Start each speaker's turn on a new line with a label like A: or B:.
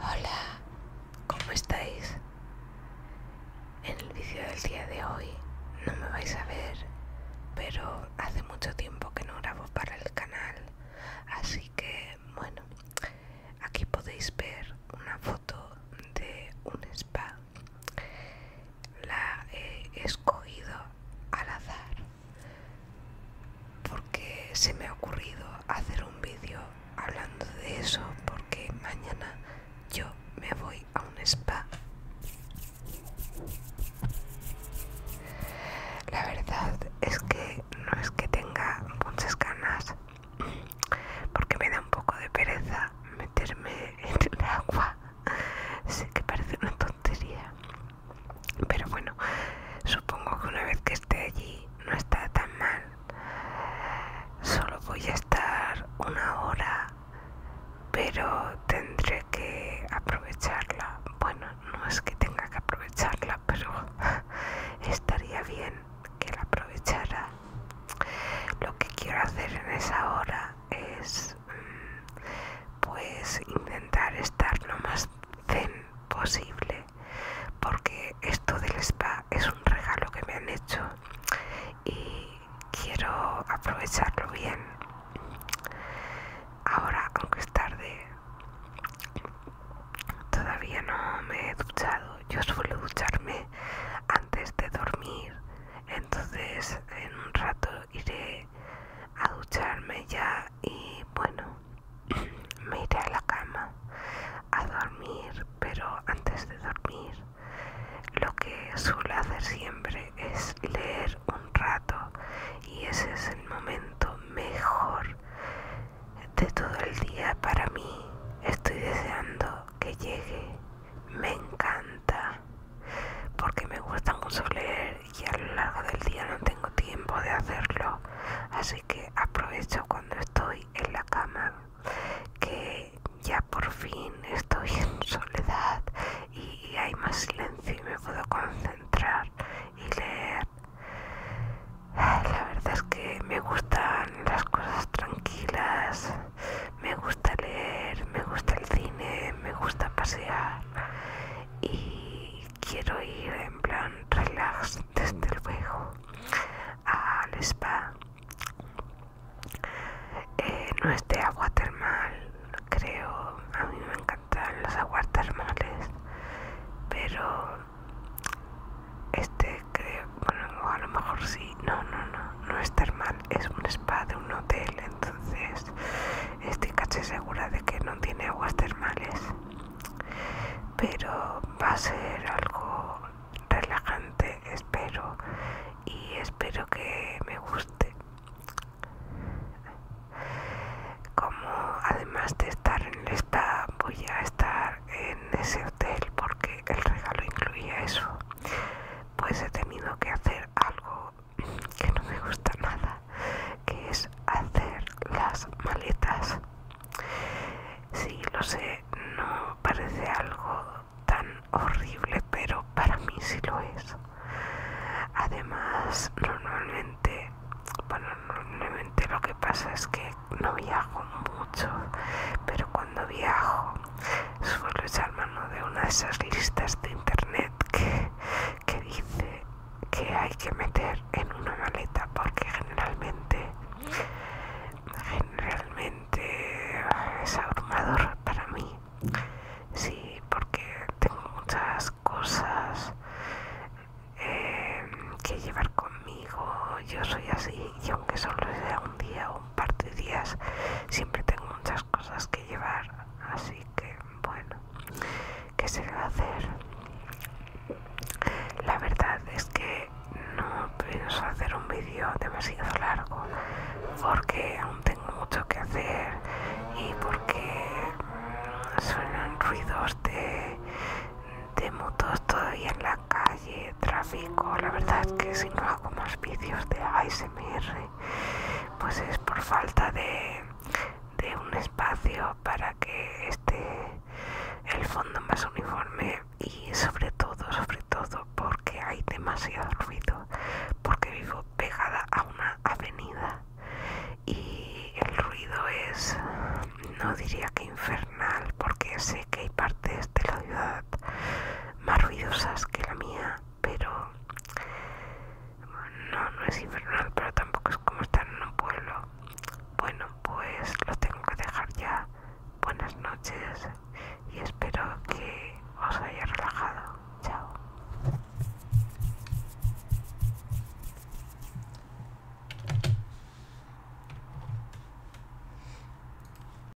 A: Hola, ¿cómo estáis? En el vídeo del día de hoy no me vais a ver, pero hace mucho tiempo que no grabo para el canal, así que bueno, aquí podéis ver una foto de un spa. La he escogido al azar porque se me ha ocurrido hacer un vídeo hablando de eso porque mañana yo me voy a un spa la verdad es que no es que tenga muchas ganas porque me da un poco de pereza meterme en el agua sé que parece una tontería pero bueno, supongo que una vez que esté allí no está tan mal. Solo voy a estar una hora, pero tendré que aprovecharla. Bueno, no es que tenga que aprovecharla, pero estaría bien que la aprovechara. Lo que quiero hacer en esa hora es pues intentar estar lo más zen posible porque esto del spa es un regalo que me han hecho y quiero aprovecharlo bien ahora aunque es tarde todavía no me he duchado yo suelo ducharme antes de dormir entonces en un rato iré a ducharme ya y bueno, me iré a la cama a dormir, pero antes de dormir lo que suelo hacer siempre es leer un rato y ese es el momento mejor de todo el día para mí. Estoy deseando que llegue. Me encanta porque me gusta mucho leer y a lo largo del día no tengo tiempo de hacerlo, así que aprovecho cuando estoy en la cama, que ya por fin estoy en soledad y hay más silencio y me puedo concentrar y leer. Ah, la verdad es que me gustan las cosas tranquilas, me gusta leer, me gusta el cine, me gusta pasear y quiero ir en plan relax desde luego al spa eh, no es de agua termal creo a mí me encantan las aguas termales pero este creo bueno a lo mejor sí no no no no es termal es un spa de un hotel, entonces estoy casi segura de que no tiene aguas termales. Pero va a ser algo relajante, espero, y espero que me guste. Como además de estar en el spa, voy a estar en ese hotel porque el regalo incluía eso, pues he tenido que hacer algo que no me gusta nada, que es hacer las maletas. Sí, lo sé, no parece algo tan horrible, pero para mí sí lo es. Además, normalmente, bueno, normalmente lo que pasa es que no viajo mucho, pero cuando viajo suelo echar mano de una de esas listas de internet que, dice que hay que meter en una maleta porque generalmente generalmente es abrumador para mí sí porque tengo muchas cosas em, que llevar conmigo yo soy así y aunque solo sea un día o un par de días siempre tengo muchas cosas que llevar así que bueno ¿Qué se va a hacer la verdad es que no pienso hacer un vídeo demasiado largo porque aún tengo mucho que hacer y porque mm, suenan ruidos de, de motos todavía en la calle, tráfico, la verdad es que si no hago más vídeos de ASMR pues es por falta de, de un espacio para que esté el fondo más uniforme y sobre todo sobre todo porque hay demasiado ruido porque vivo pegada a una avenida y el ruido es no diría que infernal porque sé que hay partes de la ciudad más ruidosas que la mía, pero no, no es infernal, pero tampoco es como estar en un pueblo. Bueno, pues Lo tengo que dejar ya. Buenas noches y espero que os haya relajado. Chao.